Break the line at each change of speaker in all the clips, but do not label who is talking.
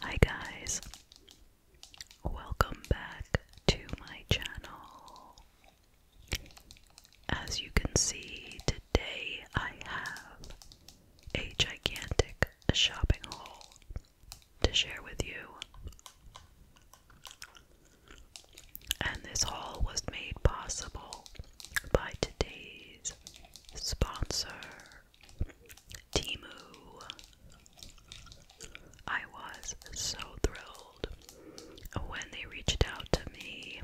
Hi guys, welcome back to my channel. As you can see, today I have a gigantic shopping haul to share with you. And this haul was made possible by today's sponsor. Timu. I was so thrilled when they reached out to me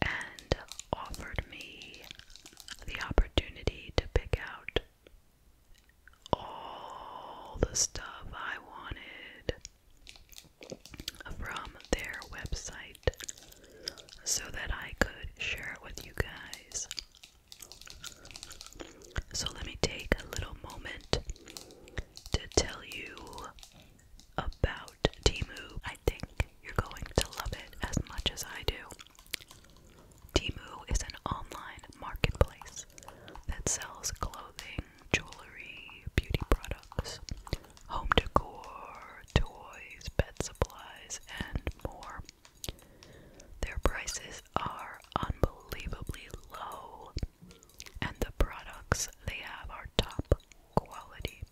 and offered me the opportunity to pick out all the stuff I wanted from their website so that I could share it with you guys. So, let me take a little moment to tell you about Timu. I think you're going to love it as much as I do. Timu is an online marketplace that sells clothing, jewelry, beauty products, home decor, toys, bed supplies, and more. Their prices are unbelievably low, and the products they have are top quality.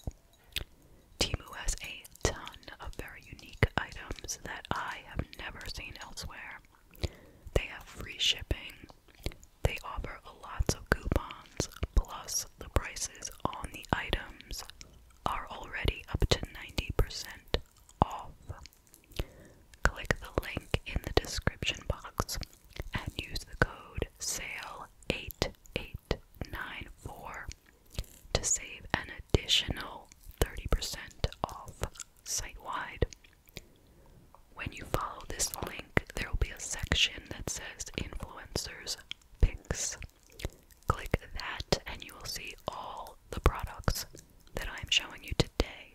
Timu has a ton of very unique items that I have never seen elsewhere. They have free shipping. They offer lots of coupons, plus the prices on the items are already up to 90% off. Click the link in the description box and use the code SALE8894 to save an additional 30% off site wide. When you follow this link, there will be a section that says Influencers Picks. Click that and you will see all the products that I am showing you today.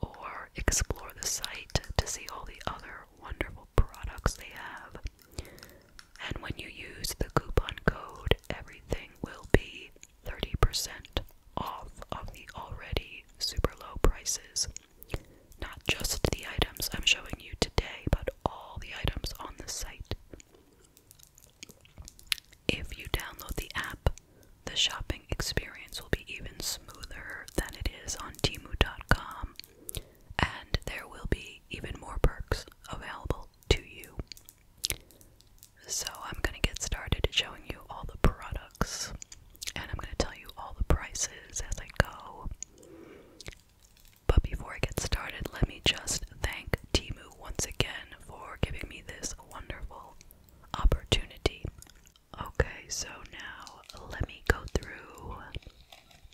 Or explore the site to see all the other wonderful products they have. And when you use the coupon code, everything will be 30% off of the already super low prices. Not just the items I'm showing you today, but all the items on the site. If you download the app, the shopping experience will be even smoother than it is on Timu.com, and there will be even more perks available to you. So, I'm going to get started showing you all the products, and I'm going to tell you all the prices as I go. But before I get started, let me just thank Timu once again for giving me this wonderful opportunity. Okay, so now let me go through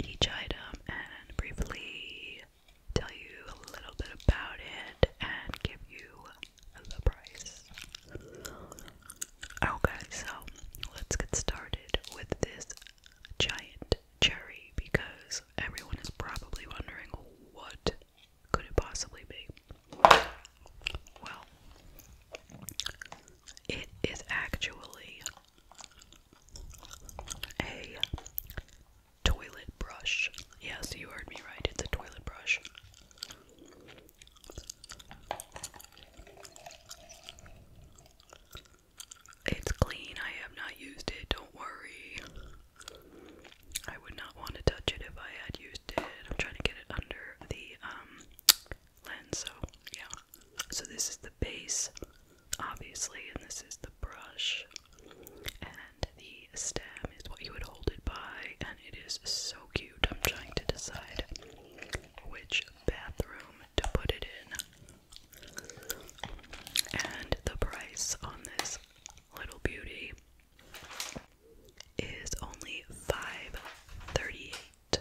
each item and briefly tell you a little bit about it and give you the price. Okay, so let's get started with this giant cherry because everyone is probably wondering what could it possibly be? Well, it is actually a toilet brush. Yes, you heard me right, it's a toilet brush. It's clean, I have not used it, don't worry. I would not want to touch it if I had used it. I'm trying to get it under the um, lens, so yeah. So this is the base, obviously, and this is the brush. And the stem is what you would hold it by, and it is so cute. I'm trying to decide which bathroom to put it in. And the price on this little beauty is only five thirty-eight.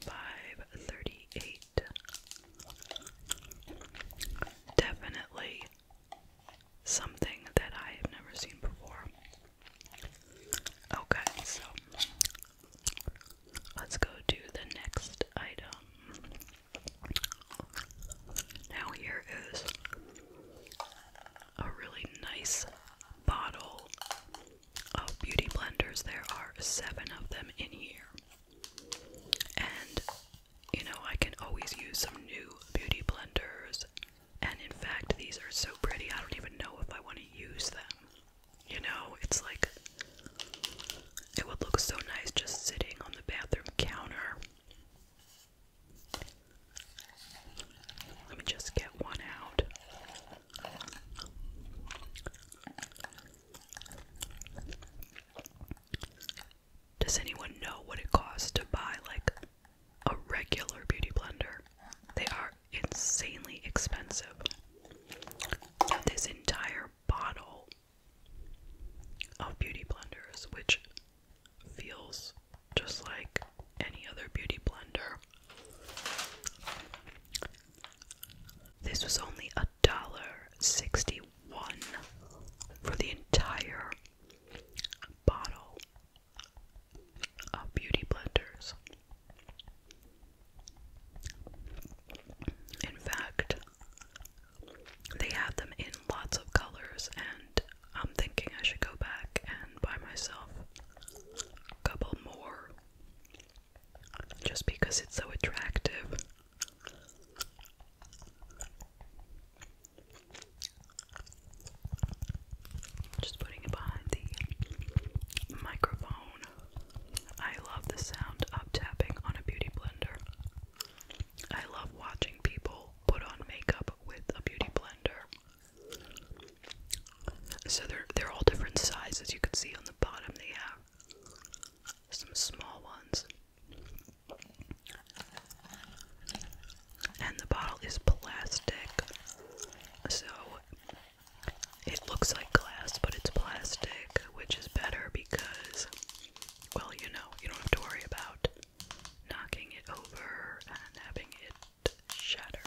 Five thirty-eight. Definitely something that I have never seen before. Okay, so let's go to the next item. Now, here is a really nice bottle of beauty blenders. There are seven of them in here. And, you know, I can always use some new beauty blenders. And in fact, these are so pretty, I don't even know if I want to use them. You know, it's like it would look so nice just sitting on the bathroom counter let me just get one out. Does anyone know what it costs to buy like a regular beauty blender? They are insanely expensive. this entire bottle of beauty blenders, which feels just like any other beauty blender. This was only a dollar sixty-one for the entire bottle of beauty blenders. In fact, they had them in lots of colors, and I'm thinking I should go back and buy myself a couple more just because it's so attractive. Just putting it behind the microphone. I love the sound of tapping on a beauty blender. I love watching people put on makeup with a beauty blender. So they're they're all different sizes. You can see on the bottom they have some small ones. And the bottle is plastic. So it looks like glass, but it's plastic, which is better because well, you know, you don't have to worry about knocking it over and having it shatter.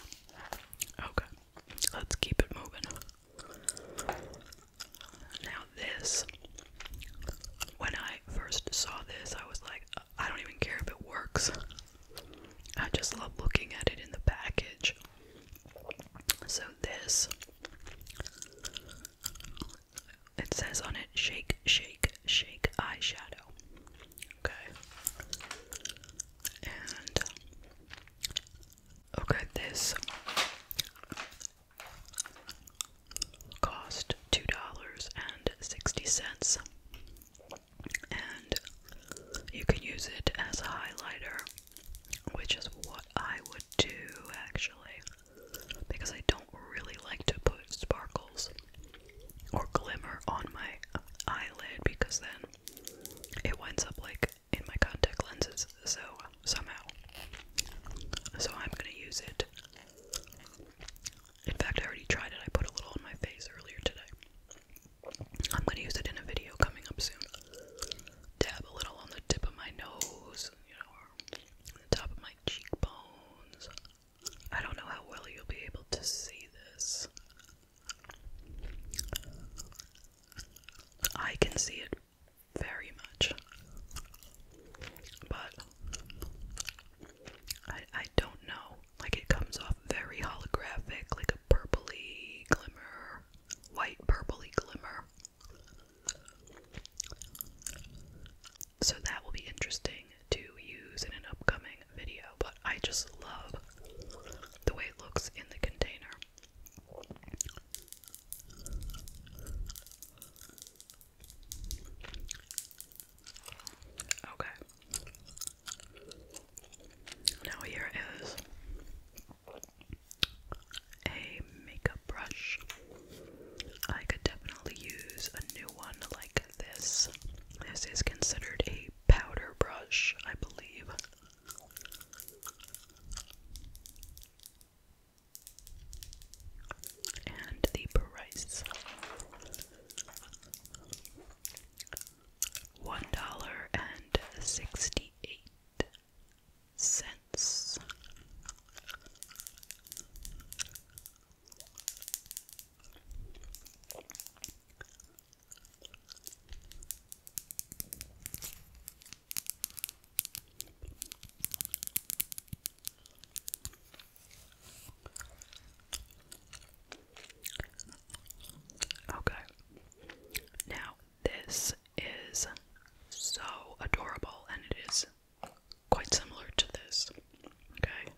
Okay, let's keep it moving. Now, this, when I first saw this, I was like, I don't even care if it works. I just love looking at it in the package. So, this it says on it shake, shake, shake eyeshadow. Okay. okay, this cost two dollars and sixty cents. And you can use it as a highlighter, which is what I would do actually because I don't really like to put sparkles or glimmer on my eyelid because then it winds up like in my contact lenses, so somehow. So I'm gonna use it. In fact, I already tried it, I put a little on my face earlier today. I'm gonna use it in a video coming up soon. Dab a little on the tip of my nose, you know, top of my cheekbones. I don't know how well you'll be able to see this. I can see it very much, but I don't know. Like, it comes off very holographic, like a purpley glimmer, white purpley glimmer. So that will be interesting to use in an upcoming video, but I just love the way it looks in the container. Okay. Now here is a makeup brush. I could definitely use a new one like this. This is considered a powder brush, I believe. And the price one dollar and sixty eight Sense. Okay. Now, this is so adorable and it is quite similar to this. Okay?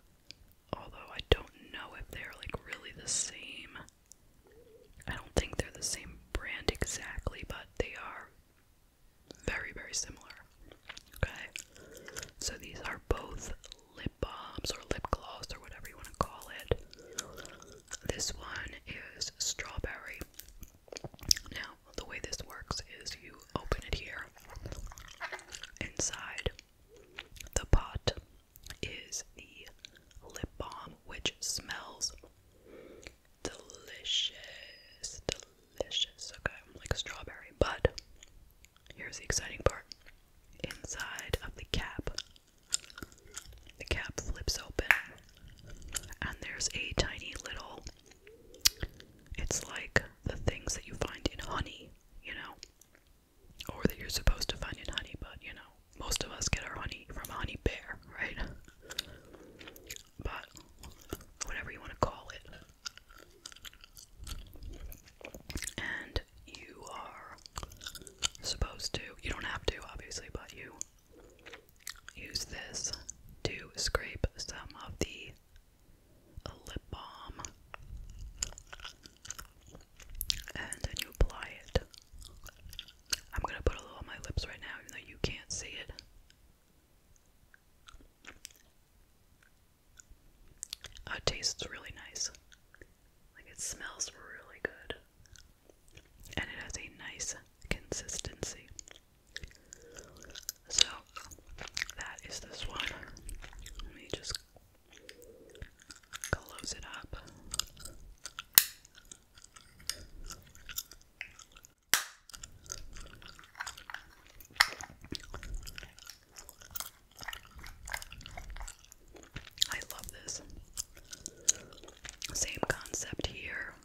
Although I don't know if they're like really the same. I don't think they're the same brand exactly, but they are very, very similar. Okay? So these are both lip balms or lip gloss or whatever you want to call it. This one is strawberry. Now, the way this works is you open it here. Inside the pot is the lip balm, which smells delicious. Delicious. Okay, like strawberry. But here's the exciting part inside of the cap. The cap flips open, and there's a tiny little it's like the things that you find in honey, you know, or that you're supposed to find in honey, but you know, most of us get our honey from a honey bear, right? But whatever you want to call it. And you are supposed to, you don't have to, obviously, but you use this to scrape some of the lip balm and then you apply it. I'm gonna put a little on my lips right now, even though you can't see it. Oh, it tastes really nice. Like it smells really good. And it has a nice consistency. So that is this one. Let me just close it up. I love this. Same concept here.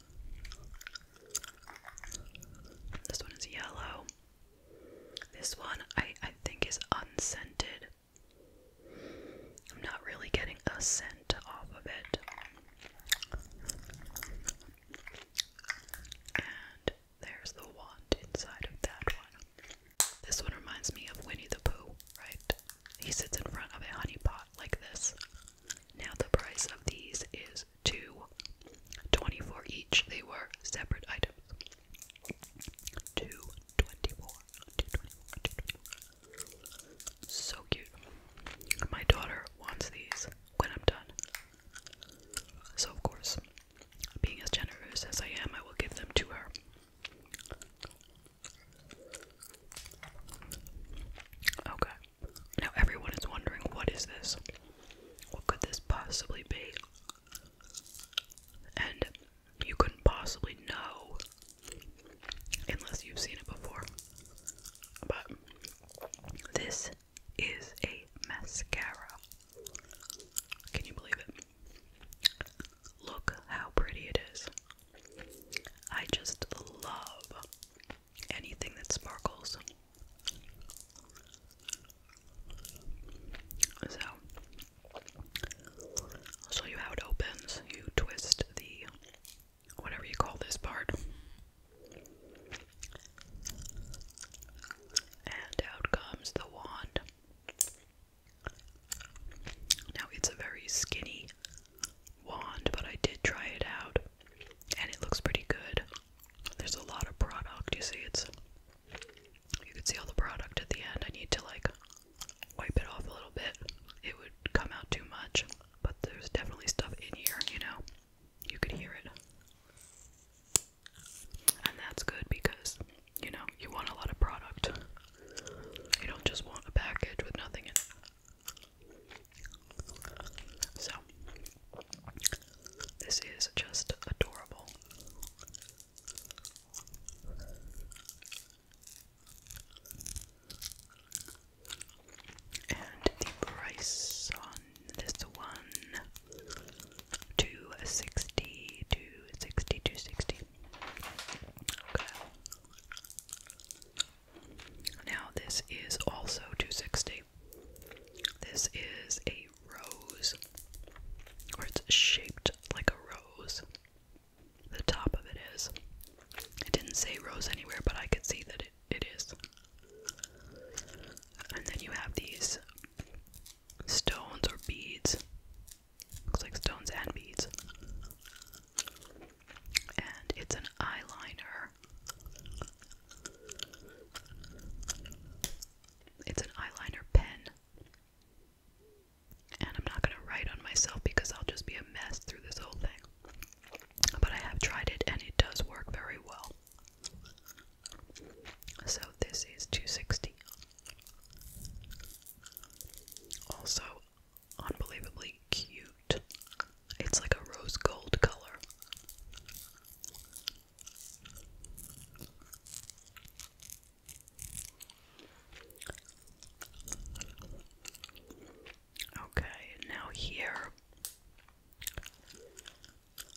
This one is yellow. This one I I think is unscented. I'm not really getting a scent off of it. And there's the wand inside of that one. This one reminds me of Winnie the Pooh, right? He sits in front of a honey pot like this. Now the price of these is two twenty-four each. They were separate items. Two twenty-four. Two twenty-four. Two twenty-four. So cute. My daughter wants these when I'm done. So of course, being as generous as I am, I will give them to her. Okay. Now everyone is wondering what is this? What could this possibly be? And you couldn't possibly know unless you've seen it before. But this is a mascara. Can you believe it? Look how pretty it is. I just love anything that sparkles. So I'll show you how it opens. You twist the whatever you call this part. And out comes the wand. Now it's a very skinny wand, but I did try it out and it looks pretty good. There's a lot of product, you see, it's you can see all the product at the end. I need to like wipe it off a little bit. It would come out too much, but there's definitely stuff in here, you know. You could hear it. And that's good because, you know, you want a lot of product. You don't just want a package with nothing in it. So, this is just adorable. And the price on this one, two sixty, two sixty, two sixty. Okay. Now this is also two sixty. This is a rose, or it's shaped like a rose. The top of it is. It didn't say rose anywhere, but I could see that it, it is. And then you have these stones or beads. Looks like stones and beads. And it's an eyeliner it's an eyeliner pen. And I'm not going to write on myself because I'll just be a mess through this whole thing. But I have tried it and it does work very well. So this is 260. Also, unbelievably cute it's like a rose gold color. Okay, now here.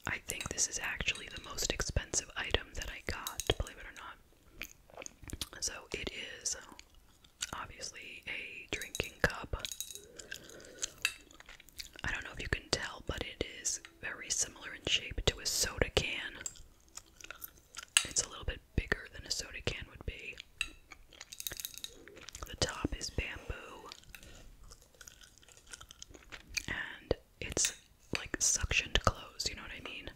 I think this is actually the most expensive item that I got, believe it or not. So it is obviously a drinking cup. I don't know if you can tell, but it is very similar in shape to a soda can. It's a little bit bigger than a soda can would be. The top is bamboo. And it's like suctioned closed, you know what I mean?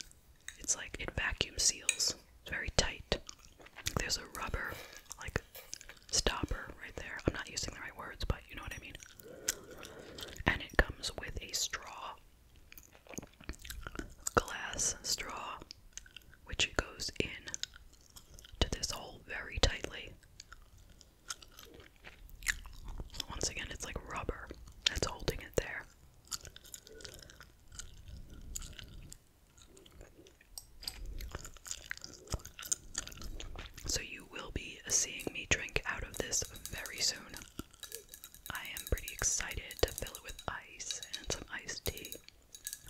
It's like it vacuum seals. It's very tight. There's a rubber like stopper right there. I'm not using the right words, but you know what I mean. And it comes with a straw, glass straw, which goes in to this hole very tightly. Once again, it's like rubber that's holding it there. So you will be seeing me drink out of this very soon. I am pretty excited to fill it with ice and some iced tea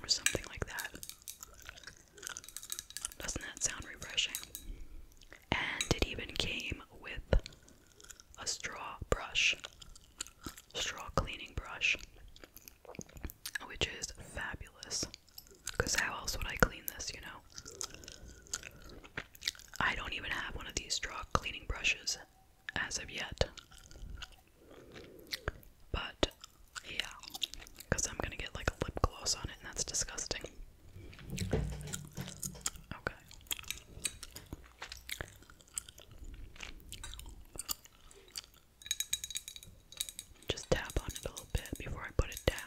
or something like that. Doesn't that sound refreshing? And it even came with a straw brush, straw cleaning brush, which is fabulous. Because how else would I clean this, you know? I don't even have one of these straw cleaning brushes as of yet. But, yeah. Because I'm gonna get like a lip gloss on it, and that's disgusting. Okay. Just tap on it a little bit before I put it down.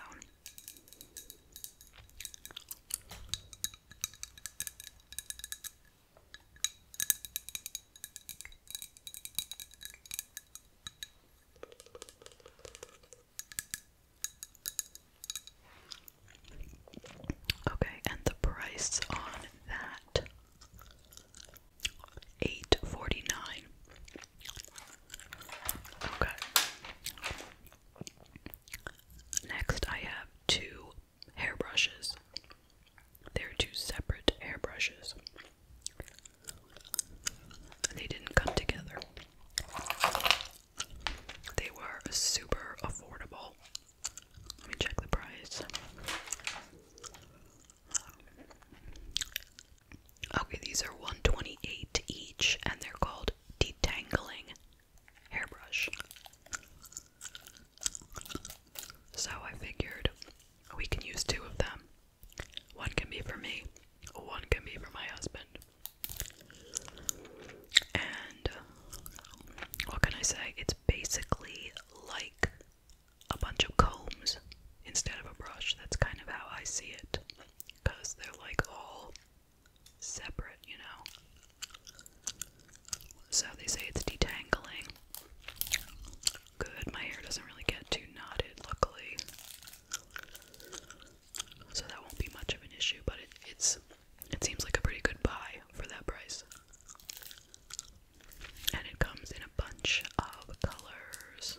Okay, and the price on that eight forty nine. Okay. Next, I have two hairbrushes. They're two separate hairbrushes. They didn't come together. They were super affordable. Let me check the price. Okay, these are 128 each, and they're called detangling hairbrush. So I figured we can use two of them. One can be for me, one can be for my husband. And uh, what can I say? It's basically like a bunch of combs instead of a brush. That's kind of how I see it because they're like all separate, you know. So they say it's detangling. Good, my hair doesn't really get too knotted, luckily. So that won't be much of an issue, but it's it seems like a pretty good buy for that price. And it comes in a bunch of colors.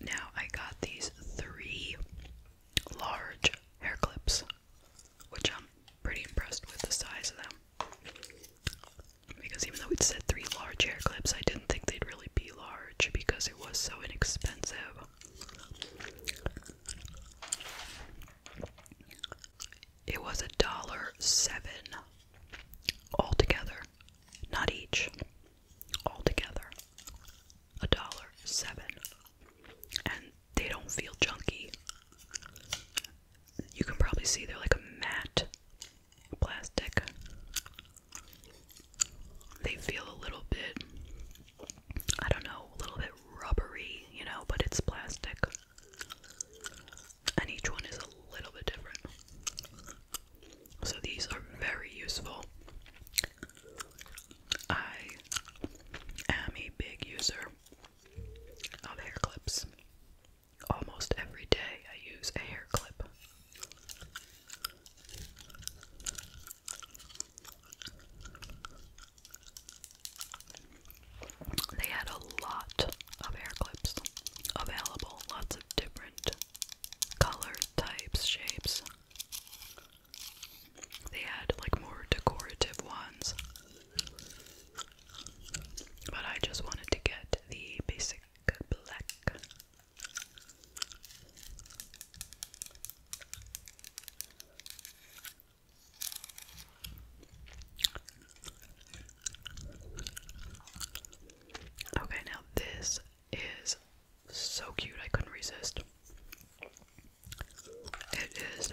Now I got these three large hair clips, which I'm pretty impressed with the size of them. Because even though it said three large hair clips, I didn't think they'd really be large because it was so inexpensive. It was a dollar seven altogether, not each altogether a dollar seven and they don't feel junky you can probably see they're like a matte plastic they feel a little bit i don't know a little bit rubbery you know but it's plastic and each one is a little bit different so these are very useful I am a big user of hair clips. Almost every day I use a hair clip. They had a lot of hair clips available, lots of different color types, shapes. They had like more decorative ones. But I just wanted to get the basic black. Okay, now this is so cute, I couldn't resist. It is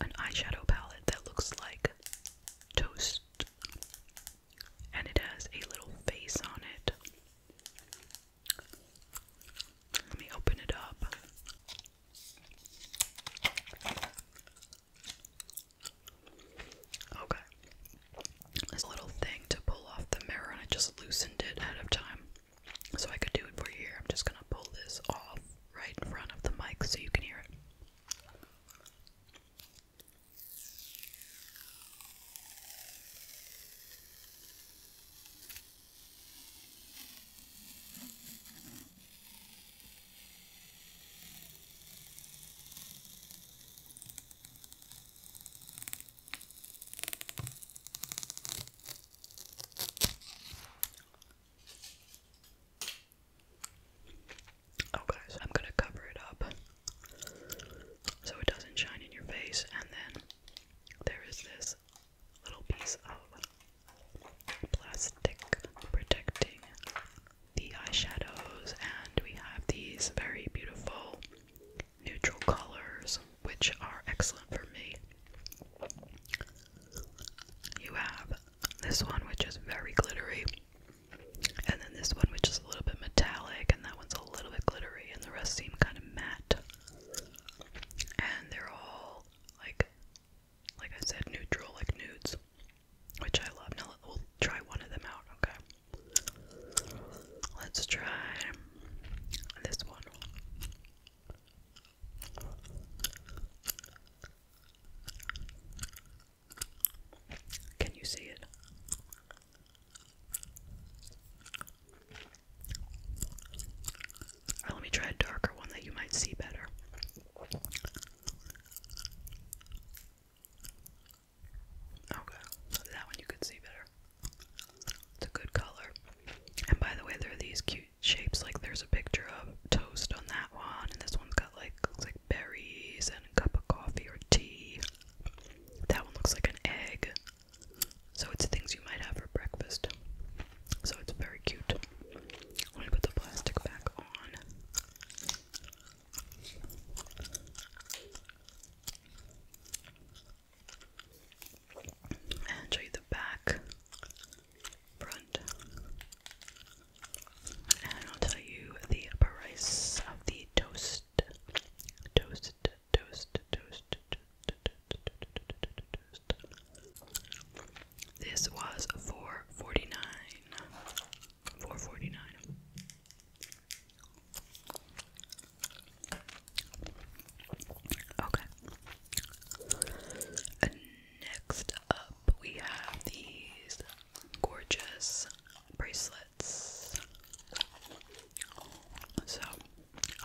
an eyeshadow palette that looks like toast, and it has a little face on it. Let me open it up. Okay this little thing to pull off the mirror, and I just loosened it ahead of time so I could do it for you here. I'm just gonna pull this off right in front of the mic so you can hear it. Okay, oh, I'm gonna cover it up so it doesn't shine in your face, and then there is this little piece of plastic protecting the eyeshadows, and we have these very beautiful neutral colors which are excellent for me. You have this one, which is very glittery, and then this one, which is a little bit metallic, and that one's a little bit glittery, and the rest seem kind of matte. And they're all like, like I said, neutral, like nudes, which I love. Now we'll try one of them out, okay? Let's try this one. Can you see it? Uh, let me try a darker one that you might see better. Okay, that one you could see better. It's a good color. And by the way, there are these cute shapes. Like there's a picture of toast on that one, and this one's got like looks like berries and a cup of coffee or tea. That one looks like an egg. So it's things you might have for breakfast. So it's very cute. I'm gonna put the plastic back on and show you the back, front, and I'll tell you the price of the toast. Toast, toast, toast, toast. This was four forty nine. Four forty nine. Okay. next up, we have these gorgeous bracelets. So,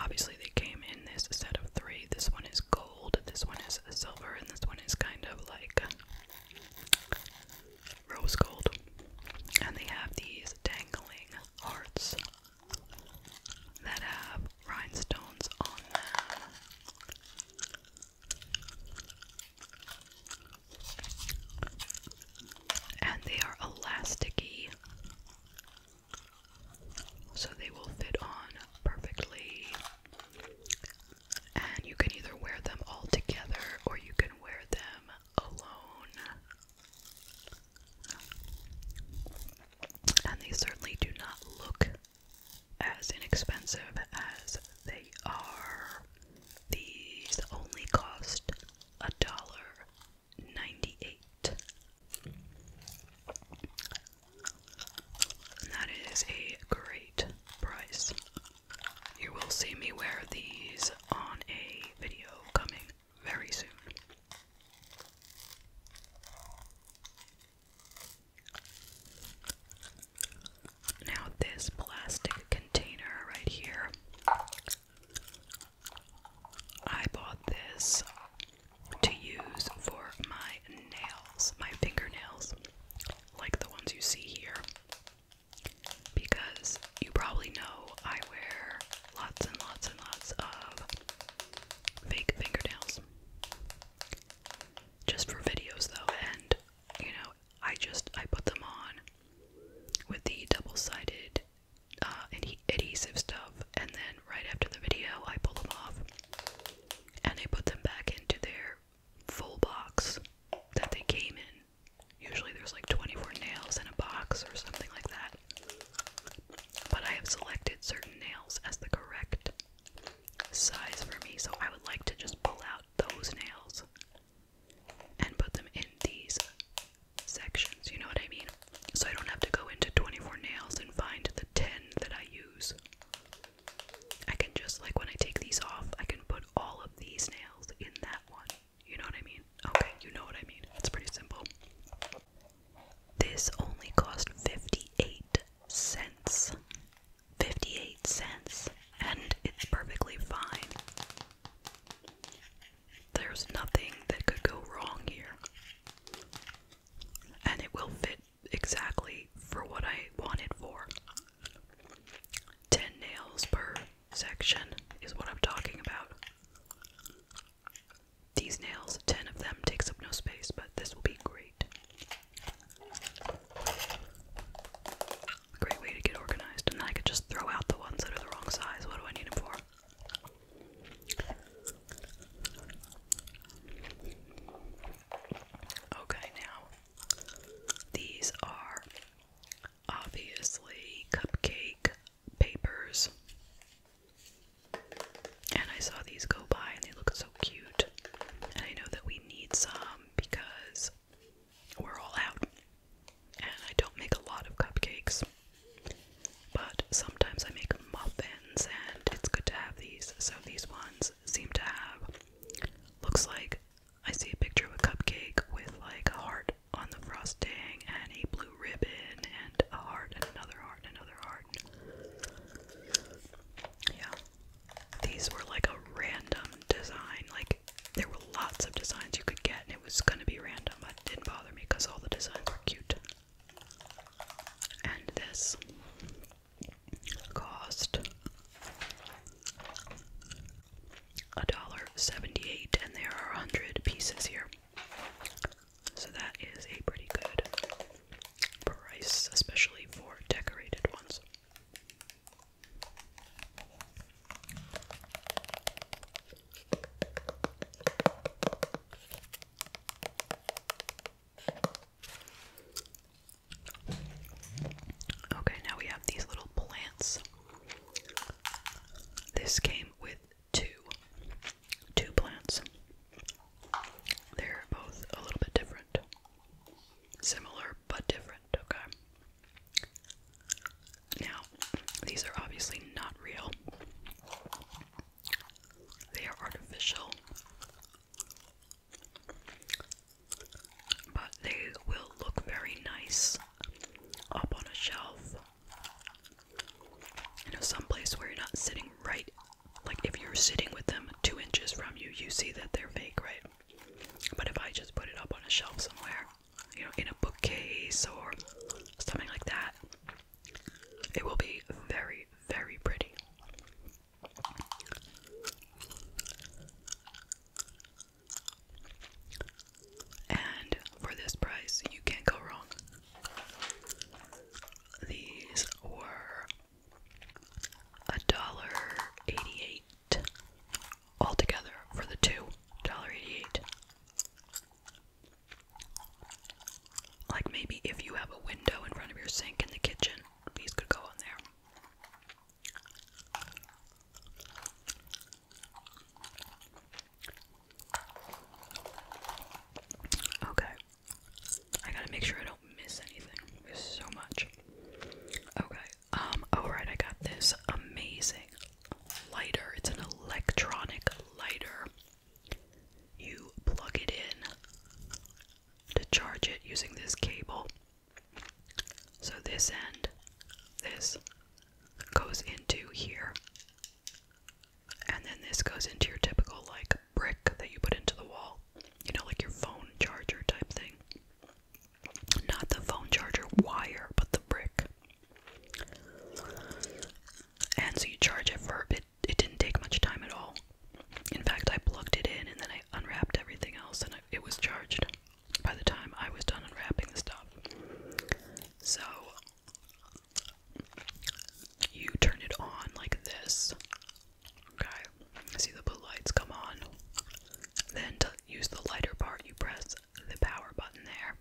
obviously, they came in this set of three. This one is gold, this one is silver, and this one is kind of like rose gold. And they have these dangling hearts that have rhinestones on them. And they are elasticy, so they will fit on perfectly. And you can either wear them all together or you can wear them alone. And they certainly do not look as inexpensive as they are. These only cost a dollar ninety eight. that is a great price. You will see me wear these on a video coming very soon. Now, this plastic container right here, I bought this to use for my nails, my fingernails, like the ones you see here. Because you probably know I wear lots and lots and lots of fake fingernails. Just for videos though, and you know, I just I put them on with the double-sided uh, adhesive stuff, and then right after the video, I pull them off and I put them back into their full box that they came in. Usually there's like 24 nails in a box or something like that. But I have selected certain nails as the correct size for me, so I would like to just pull out those nails and put them in these sections, you know what I mean? So I don't have to go into 24 nails and find the 10 that I use. I can just, like, when I take these off, I can put all of these nails in that one. You know what I mean? Okay, you know what I mean. It's pretty simple. This only cost 58 cents. 58 cents. And it's perfectly fine. There's nothing that could go wrong here. And it will fit exactly for what I want it for. 10 nails per section is what I'm talking about. These nails, 10 of them, takes up no space, but this will be great. Great way to get organized, and I could just throw out the ones that are the wrong size. What do I need them for? Okay, now these are obviously cupcake papers. And I saw these go by and they look so cute. And I know that we need some because we're all out. And I don't make a lot of cupcakes. But sometimes I make muffins and it's good to have these. So these ones seem to have looks like I see a picture of a cupcake with like a heart heart on the frosting and a blue ribbon and a heart and another heart and another heart. Yeah. These were like a random design. Like there were lots of designs you could get and it was gonna be random, but it didn't bother me because all the designs were cute. And this cost a dollar seventy eight and there are a hundred pieces here. So that is a pretty good price, especially for decorated ones. Okay, now we have these little plants. This came with two two plants. They're both a little bit different. Similar but different, okay. Now, these are obviously not real. They are artificial. But they will look very nice up on a shelf you know, someplace where you're not sitting right, like if you're sitting with them two inches from you, you see that they're fake, right? But if I just put it up on a shelf somewhere, you know, in a bookcase or something like that, it will be very, very pretty. And for this price, you can't go wrong. These were a dollar eighty-eight altogether for the two dollar eighty-eight. Like maybe if you have a window in front of your sink in the kitchen, these could go on there. Okay. I gotta make sure I don't miss anything. so much. Okay. Um, alright, I got this amazing lighter. It's an electronic lighter. You plug it in to charge it using this cable. So this end, this goes into here. And then this goes into your typical like brick that you put into the wall, you know, like your phone charger type thing. Not the phone charger wire, but the brick. And so you charge it for it. It didn't take much time at all. In fact, I plugged it in and then I unwrapped everything else, and it was charged by the time I was done unwrapping the stuff. So you turn it on like this. Okay, see the lights come on. Then to use the lighter part, you press the power button there,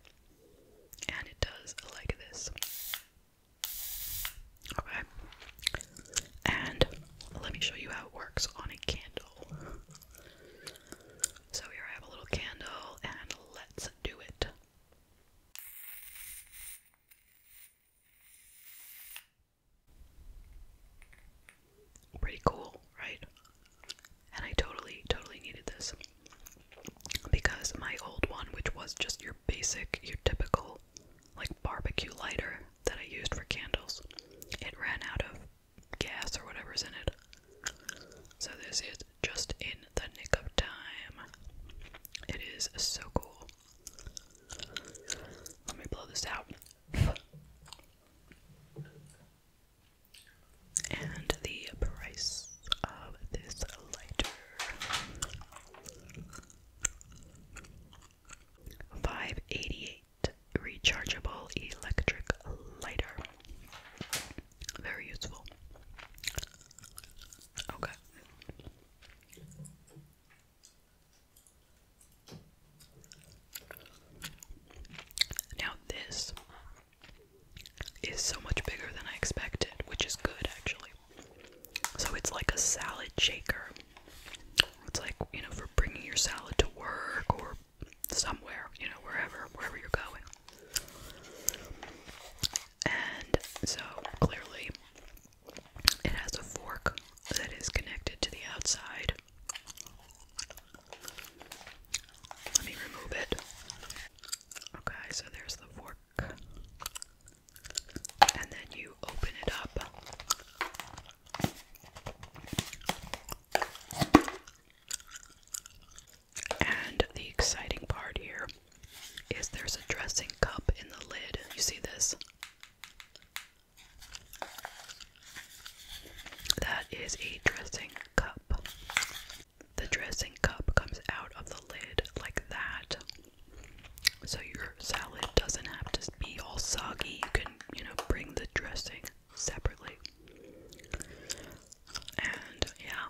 and it does like this. Okay, and let me show you how it works on a candle. So, here I have a little candle, and let's do it. Pretty cool, right? And I totally, totally needed this. Because my old one, which was just your basic, your typical, like barbecue lighter that I used for candles, it ran out of gas or whatever's in it. So this is just in the nick of time. It is so cool. Let me blow this out. And the price of this lighter. 5 rechargeable electric lighter. Very useful. Okay. Now this is so much bigger than I expected, which is good actually. So it's like a salad shaker. It's like, you know, for bringing your salad to work or somewhere, you know, wherever, wherever you're going. And so clearly it has a fork that is connected to the outside. Let me remove it. Okay, so there's the fork. And then you open it up. And the exciting part here is there's a dressing cup in the lid. You see this? That is a dressing cup. The dressing cup comes out of the lid like that. So your salad doesn't have to be all soggy. You can, you know, bring the dressing separately. And yeah,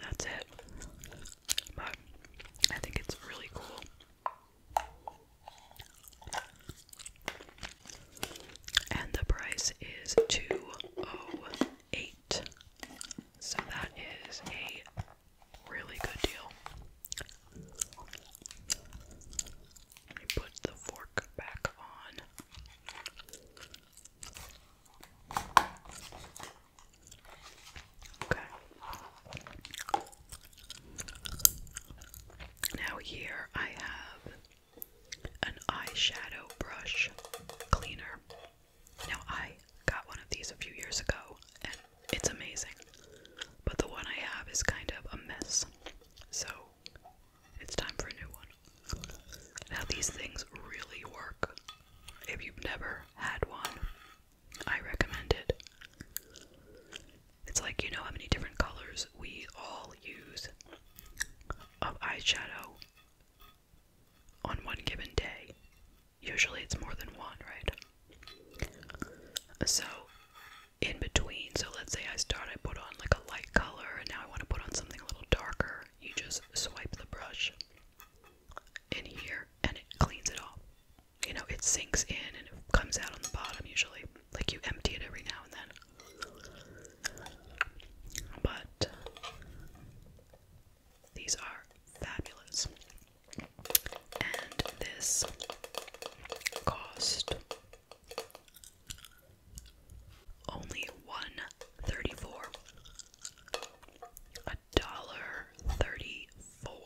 that's it. But I think it's really cool. And the price is 208. So that is a really good deal. Let me put the fork back on. Okay. Now, here I have an eyeshadow brush cleaner. Now, I got one of these a few years ago and it's amazing, but the one I have is kind of a mess, so it's time for a new one. Now, these things really work. If you've never had one, I recommend it. It's like you know how many different colors we all use of eyeshadow on one given day. Usually it's more than one, right? So, in between, so let's say I start, I put on like a light color, and now I want to put on something a little darker you just swipe the brush in here and it cleans it all. You know, it sinks in and it comes out on the bottom usually. Like you empty it every now and then. But these are fabulous. And this cost only one thirty-four. A dollar thirty-four.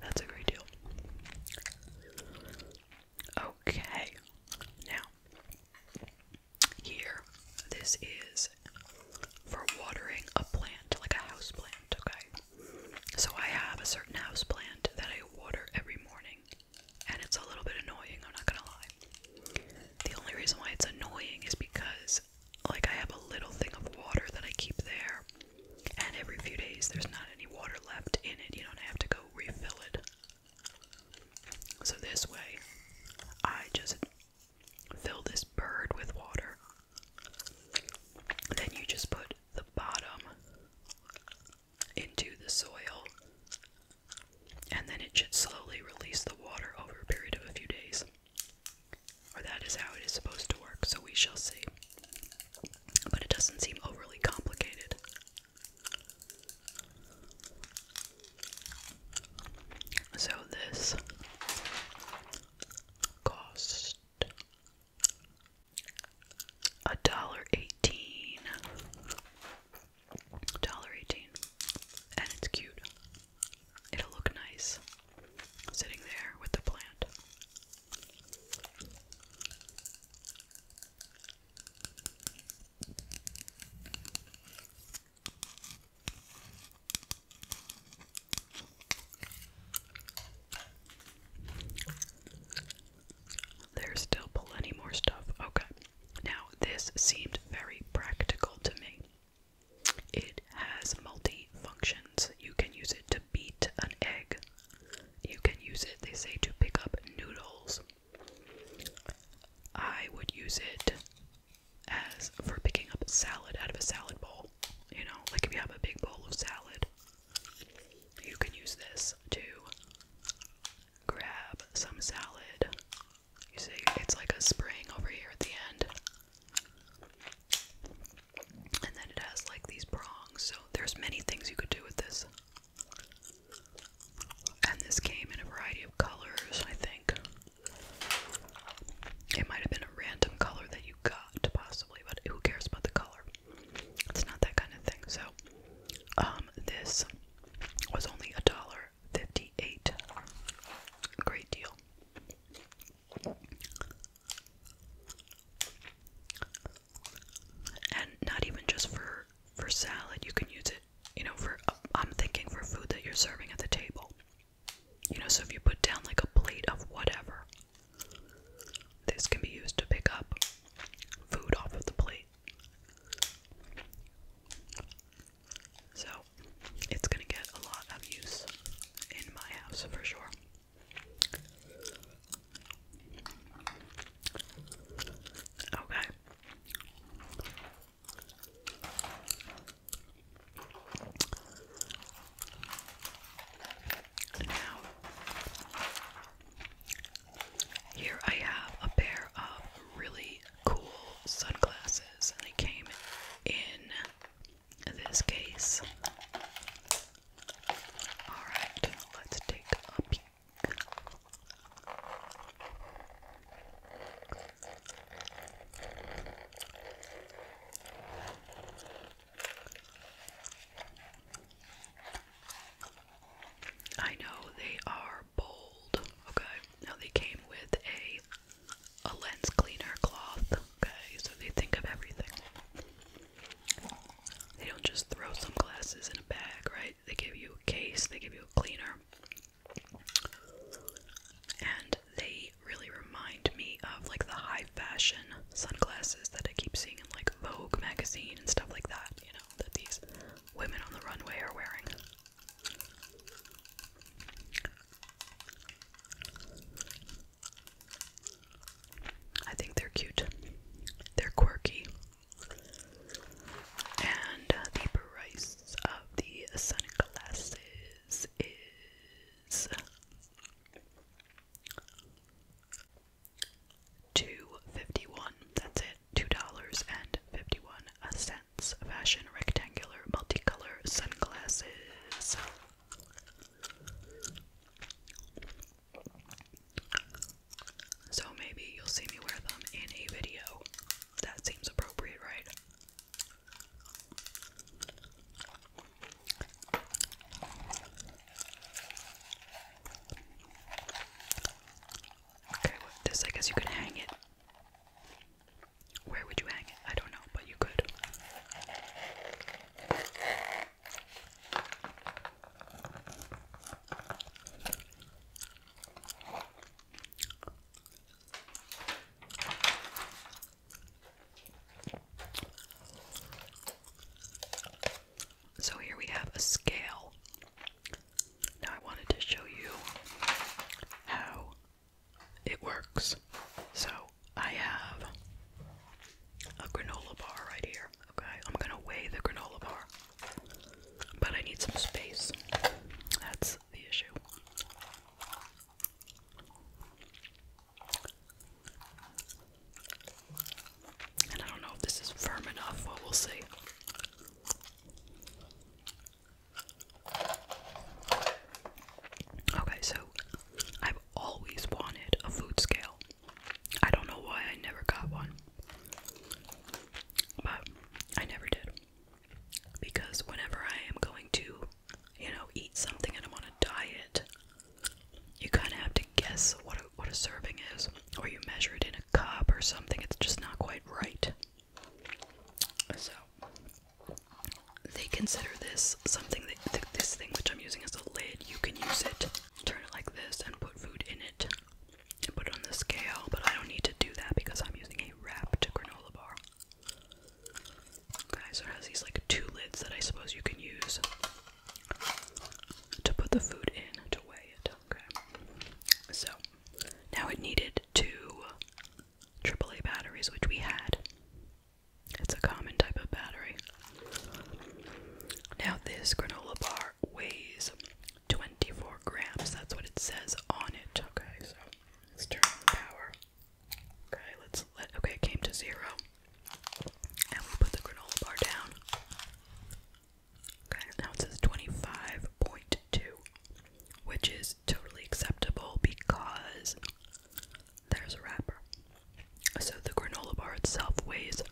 That's a great deal. Okay, now here, this is for watering a plant, like a house plant, okay? So I have a certain house plant that I water every morning, and it's a little bit annoying, I'm not gonna lie. The only reason why it's annoying is because like I have a little thing of water that I keep there, and every few days there's not any water left in it, you don't have to go refill it. So this way, I just fill this bird with water then you just put the bottom into the soil, and then it should slowly release the water over a period of a few days. Or that is how it is supposed to work, so we shall see. But it doesn't seem overly complicated. So this cost a dollar eighteen. Dollar eighteen. And it's cute. It'll look nice sitting there with the plant. There's still plenty more stuff. Okay. Now, this seemed very practical to me. It has multi functions. You can use it to beat an egg. You can use it, they say, to pick up noodles. I would use it as for picking up salad out of a salad bowl. You know, like if you have a big bowl of salad, you can use this to grab some salad. You see, it's like a spring over here at the end. And then it has like these prongs, so there's many things you could do with this. And this came in a variety of colors, I think. It might have been a random color that you got, possibly but who cares about the color? It's not that kind of thing. So, um, this was only a dollar fifty-eight. Great deal. And not even just for for salad, you can use it. You know, for I'm thinking for food that you're serving at the table. You know, so if you put down like a plate of whatever, this can be used to pick up food off of the plate. So, it's gonna get a lot of use in my house for sure. Okay. Now, here I have a pair of really cool sunglasses, and they came in this case. Alright, let's take a peek. I know they are bold. Okay. Now they came with a a lens cleaner cloth. Okay, so they think of everything. They don't just throw some glasses in a bag, right? They give you a case, they give you a cleaner. And they really remind me of like the high fashion sunglasses that I keep seeing in like Vogue magazine and stuff like that, you know, that these women on the runway are wearing. I think they're cute. They're quirky. And uh, the price of the sunglasses two fifty one. That's it. Two dollars and fifty one cents. Fashion rectangular multicolor sunglasses. So maybe you'll see me wear them in a video. That seems appropriate, right? Okay, with this, I guess you could hang it. Where would you hang it? I don't know, but you could. So here we have a scale. Now I wanted to show you how it works. So I have a granola bar right here. Okay, I'm gonna weigh the granola bar, but I need some space. That's the issue. And I don't know if this is firm enough, but we'll see. Okay, so I've always wanted a food scale. I don't know why I never got one. But I never did. Because whenever I am going to you know, eat something and I'm on a diet, you kind of have to guess what a, what a serving is, or you measure it in a cup or something. It's just not quite right. So they consider this something this thing which I'm using as a lid. You can use it, turn it like this, and put food in it, and put on the scale. But I don't need to do that because I'm using a wrapped granola bar. Okay, so it has these like two lids that I suppose you can use to put the food in to weigh it. Okay. So now it needed two AAA batteries, which we had. It's a common type of battery. Now this granola bar weighs 24 grams. That's what it says on it. Okay, so let's turn on the power. Okay, let's let okay, it came to zero. And we put the granola bar down. Okay, now it says 25.2, which is totally acceptable because there's a wrapper. So the granola bar itself weighs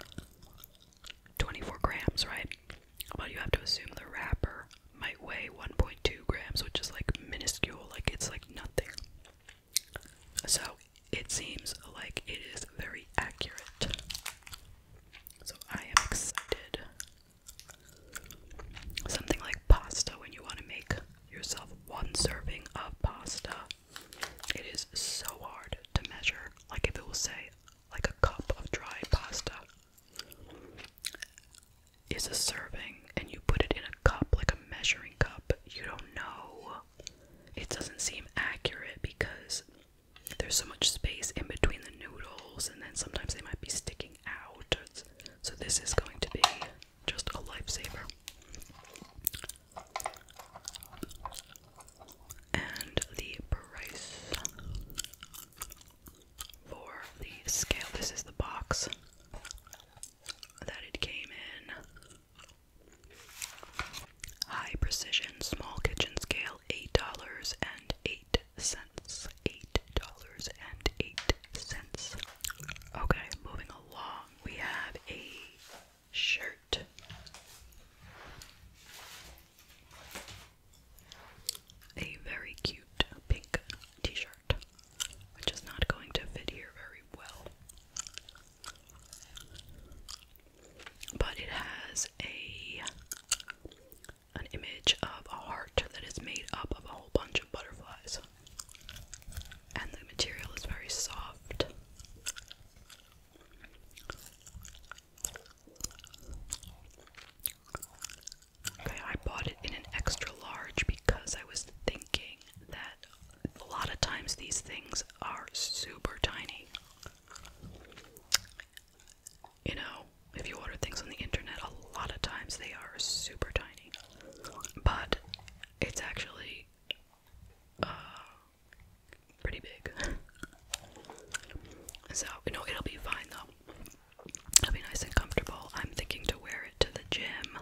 24 grams, right? Well, you have to assume the wrapper might weigh 1.2 grams, which is like minuscule, like it's like nothing. So it seems like it is very accurate. So I am excited. Something like pasta when you want to make yourself one serving of pasta. It is so hard to measure. Like if it will say like a cup of dry pasta is a serving and you put it in a cup like a measuring cup. You don't know. It doesn't seem accurate because there's so much space in between the noodles, and then sometimes they might be sticking out. So, this is going to be just a lifesaver. And the price for the scale this is the box that it came in. High precision small kitchen scale eight dollars and eight cents. Eight dollars and eight cents. Okay, moving along, we have a shirt. A very cute pink t shirt heart, which is not going to fit here very well. But it has a an image of a heart that is made up of a whole bunch of butterflies. And the material is very soft. I bought it in an extra large because I was thinking that a lot of times these things are super tiny. You know, if you order things on the internet, a lot of times they are super tiny. But it's actually uh, pretty big. so, you know, it'll be fine though. It'll be nice and comfortable. I'm thinking to wear it to the gym.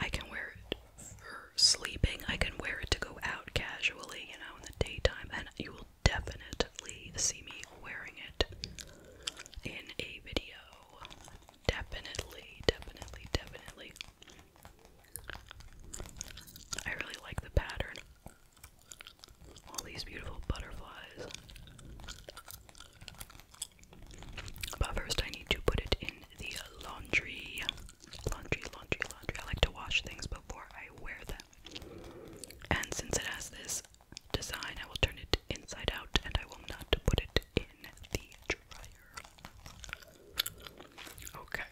I can wear it for sleeping. I can wear it to go out casually, you know, in the daytime, and you will definitely see me wearing it in a video. Definitely, definitely, definitely. I really like the pattern. All these beautiful butterflies. But first, I need to put it in the laundry. Laundry, laundry, laundry. I like to wash things before I wear them. And since it has this design, I will turn it inside out and I will not put it in the dryer. Okay.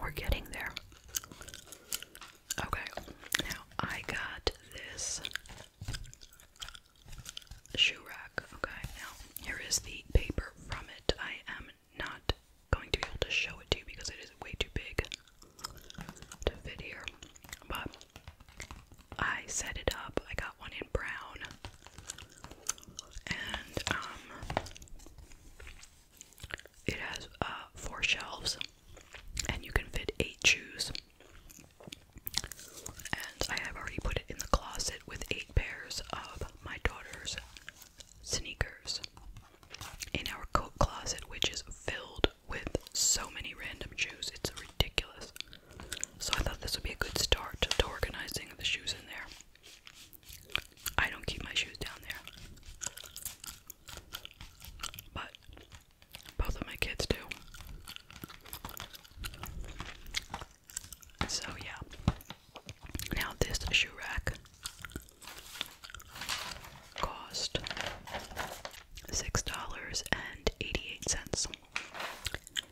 We're getting there. Okay, now I got this shoe rack. Okay, now here is the paper from it. I am not going to be able to show it to you because it is way too big to fit here. But I set it up. I got one in brown. And um it has uh, four shelves, and you can fit eight shoes. And I have already put it in the closet with eight pairs of my daughter's sneakers in our coat closet, which is filled with so many random shoes. It's ridiculous. So I thought this would be a good start to organizing the shoes in there. I don't keep my shoes down there. But both of my kids do. So, yeah. Now, this shoe rack cost $6.88.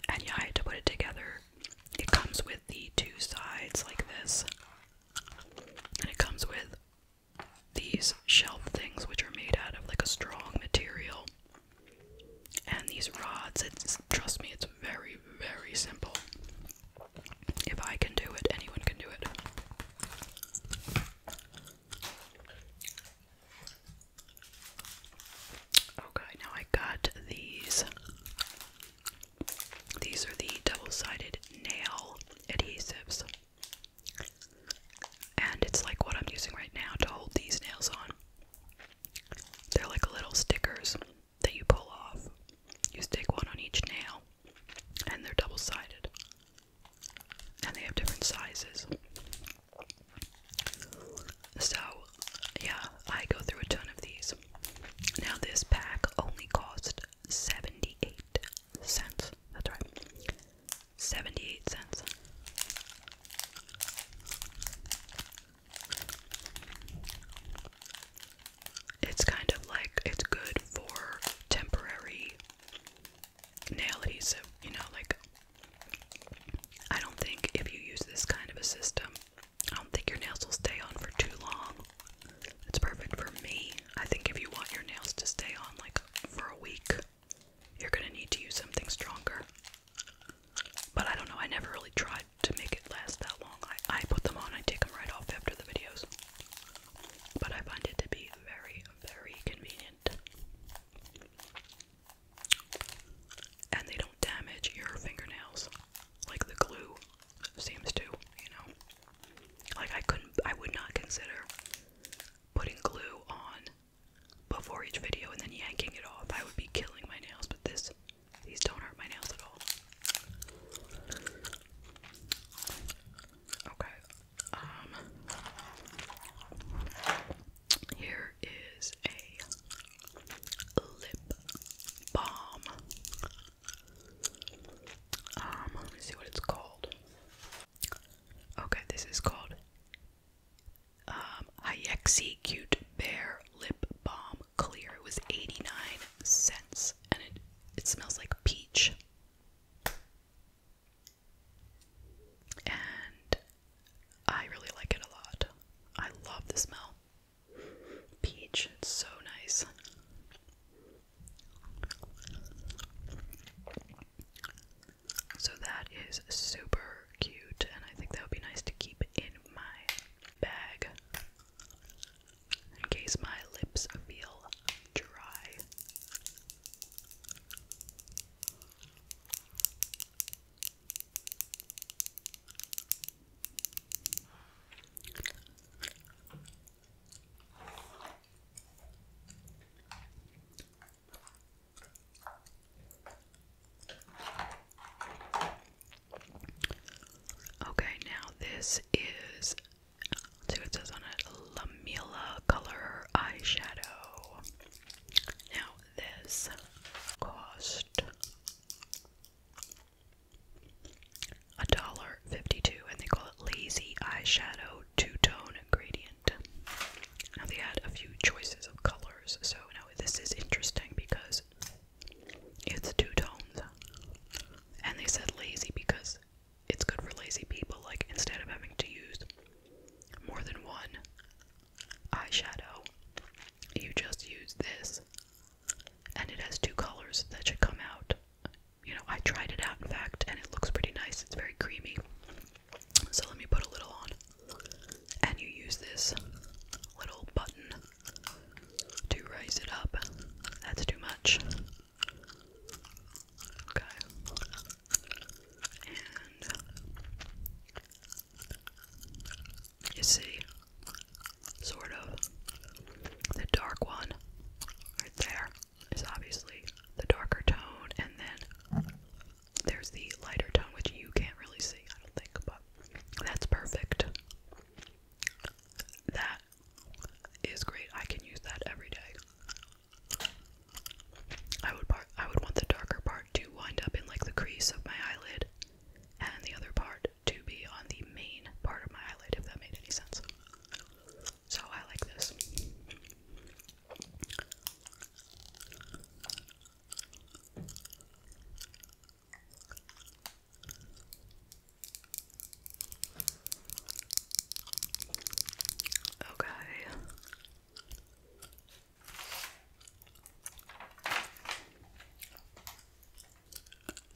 And yeah, I had to put it together. It comes with the two sides like this, and it comes with these shelf things, which are made out of like a strong material, and these rods. It's trust me, it's very, very simple. If I can do it, anyone can do it. Okay, now I got these. These are the double sided nail adhesives. And it's like what I'm using right now to hold these nails on. They're like little stickers that you pull off. You stick one on each nail, and they're double sided. And they have different sizes. So, yeah, I go through a ton of these. Now, this pack only cost 78 cents. That's right. 78 cents. It's kind of like it's good for temporary nail adhesive, you know, like I don't think if you use this kind of a system, I don't think your nails will stay on for too long. It's perfect for me. I think if you want your nails to stay on like for a week, you're gonna need to use something stronger. But I don't know, I never really tried to make it last that long. I, put them on, I take them right off after the videos. But I find it to be very, very convenient. And they don't damage your fingernails like the glue seems to, you know. Like I couldn't I would not consider putting glue on before each video and then yanking it off. I would be killing my nails, but this these don't hurt my nails at all. Okay. Um here is a lip balm. Um, let me see what it's called. Okay, this is called um, Hayexi Cute Bear Lip Balm Clear. It was 89 cents and it, it smells like peach. And I really like it a lot. I love the smell. Peach, it's so nice. So that is super cute, and I think that would be nice to keep in my bag in case my lips feel dry. Okay, now this is see what it on it Lamilla color eyeshadow. Now this cost a dollar fifty-two, and they call it Lazy Eyeshadow Two-Tone Gradient. Now they had a few choices of colors, so now this is interesting because it's two tones, and they said lazy because it's good for lazy people. Like instead of having to use more than one eyeshadow, you just use this, and it has two colors that should come out you know, I tried it out in fact, and it looks pretty nice. It's very creamy. So let me put a little on. And you use this little button to raise it up. That's too much. Okay. And you see, sort of, the dark one right there. It's obviously the darker tone, and then there's the lighter tone, which you can't really see, I don't think, but that's perfect. That is great. I can use that every day. I would part, I would want the darker part to wind up in like the crease of my eyelid, and the other part to be on the main part of my eyelid, if that made any sense. So I like this. Okay.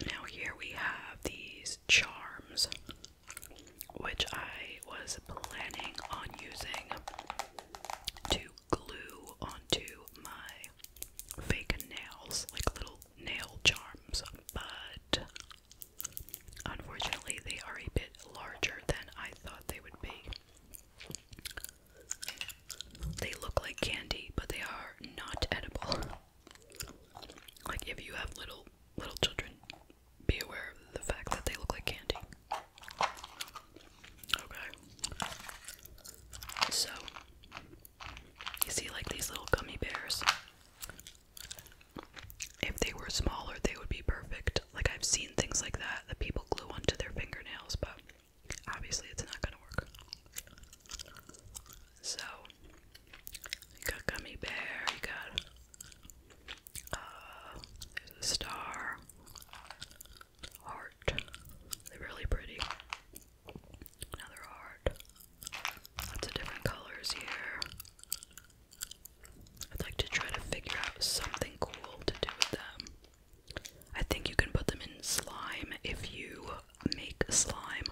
Now, here we have these charms which I was planning on using to glue onto my fake nails, like little nail charms, but unfortunately they are a bit larger than I thought they would be. They look like candy, but they are not edible. Like if you have little little children, be aware of the fact that they look like candy. Okay. So, you see, like these little gummy bears. If they were smaller, they would be perfect. Like, I've seen things like that that people glue onto their fingernails, but obviously, it's not gonna work. So, you got gummy bear, you got uh, there's a star, heart. They're really pretty. Another heart. Lots of different colors here. I'd like to try to figure out something cool to do with them. I think you can put them in slime if you make slime.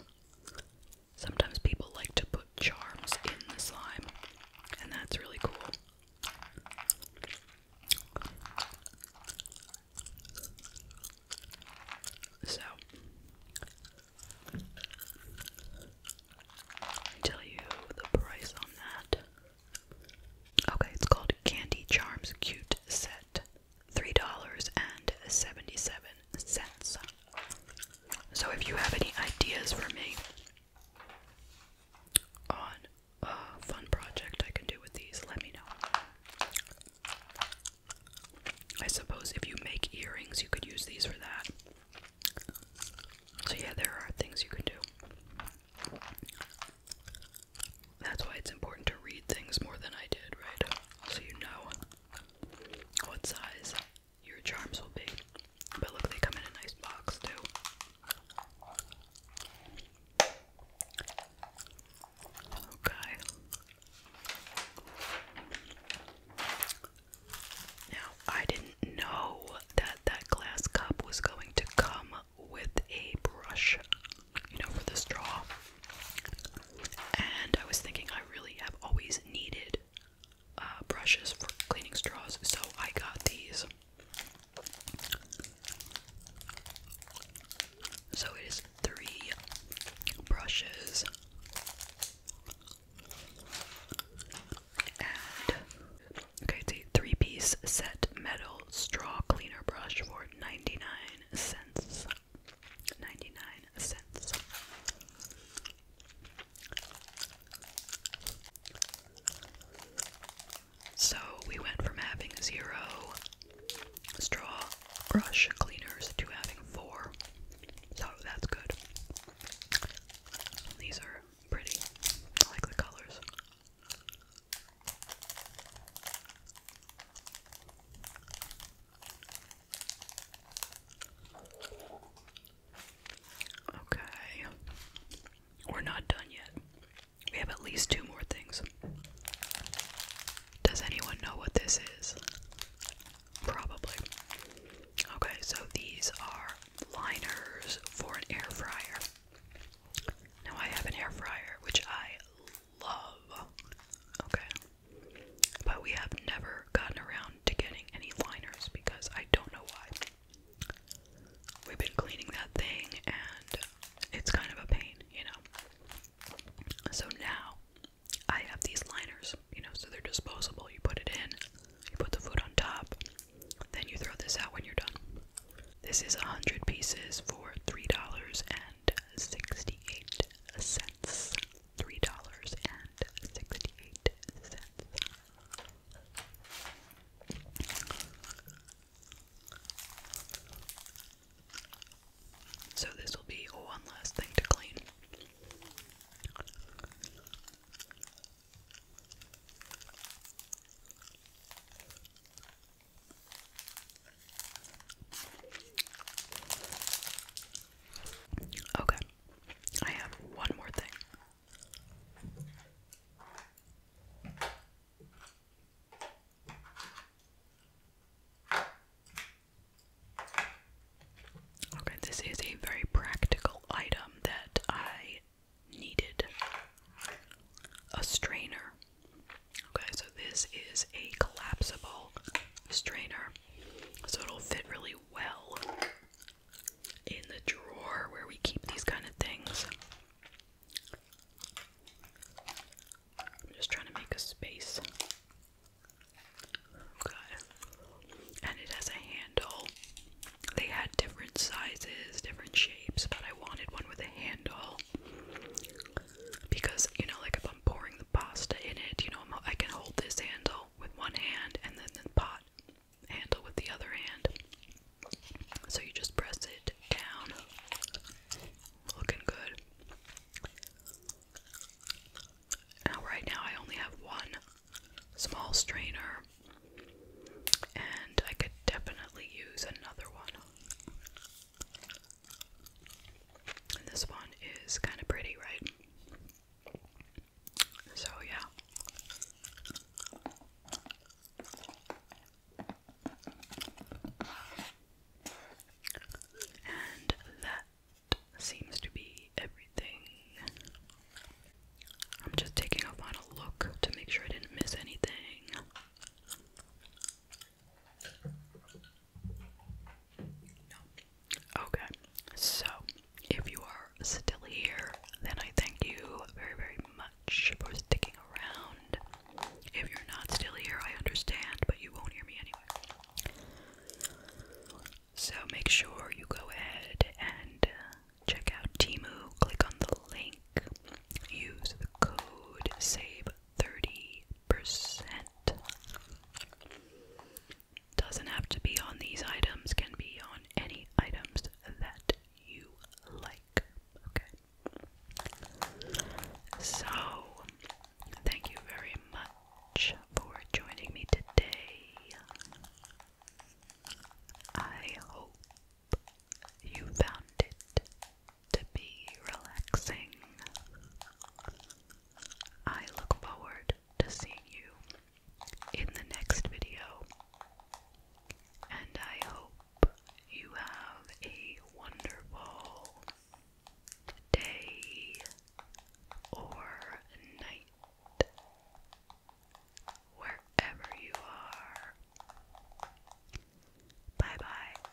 Sometimes people like to put charms in the slime, and that's really cool. So, I'll tell you the price on that. Okay, it's called Candy Charms Cute Set. $3.77 cents. So if you have any ideas for me on a fun project I can do with these, let me know. I suppose if you make earrings, you could use these for that. So, yeah, there are things you could do. That's why it's important to read things more than I did, right? So you know what size your charms will be. But look, they come in a nice box too. Okay. Now, I didn't know that that glass cup was going to come with a brush, you know, for the straw. And I was thinking I really have always needed uh, brushes for cleaning straws, so I got these. So it is three brushes okay, it's a three-piece set metal straw cleaner brush for ninety-nine cents. Ninety-nine cents. So we went from having zero straw brush cleaners to having four. So that's good. These are pretty. I like the colors. Okay. We're not done yet. We have at least two more things. Does anyone know what this is? Probably. Okay, so these are liners for an air fryer. Now I have an air fryer, which I love. Okay. But we have never gotten around to getting any liners because I don't know why. We've been cleaning that thing and it's kind of a pain, you know. So now I have these liners, you know, so they're disposable. You put it in, you put the food on top, then you throw this out when you're done. This is 100 pieces for $3.68 three dollars and sixty-eight cents. So this will be one last thing to clean. Okay. I have one more thing. Okay, this is a very practical item that I needed a strainer. Okay, so this is a collapsible strainer, so it'll fit really well in the drawer where we keep these kind of things. I'm just trying to make a space. Okay. And it has a handle. They had different sizes, different shapes, but I wanted one with a handle. Because, you know, like if I'm pouring the pasta in it, you know, i can hold this handle with one hand and then the pot handle with the other hand. So you just press it down. Looking good. Now, right now, I only have one small strainer, and I could definitely use another one. And this one is kind of pretty, right? So, yeah. And that seems to be everything. I'm just taking a final look to make sure I didn't miss anything. Okay, so if you are still here, then I thank you very, very much for sticking around. If you're not still here, I understand, but you won't hear me anyway. So make sure you go ahead and uh, check out Timu, click on the link, use the code SAVE30%. Doesn't have to be on these items, can be on any items that you like. Okay. So, thank you very much for joining me today. I hope you found it to be relaxing. I look forward to seeing you in the next video. And I hope you have a wonderful day or night wherever you are. Bye bye.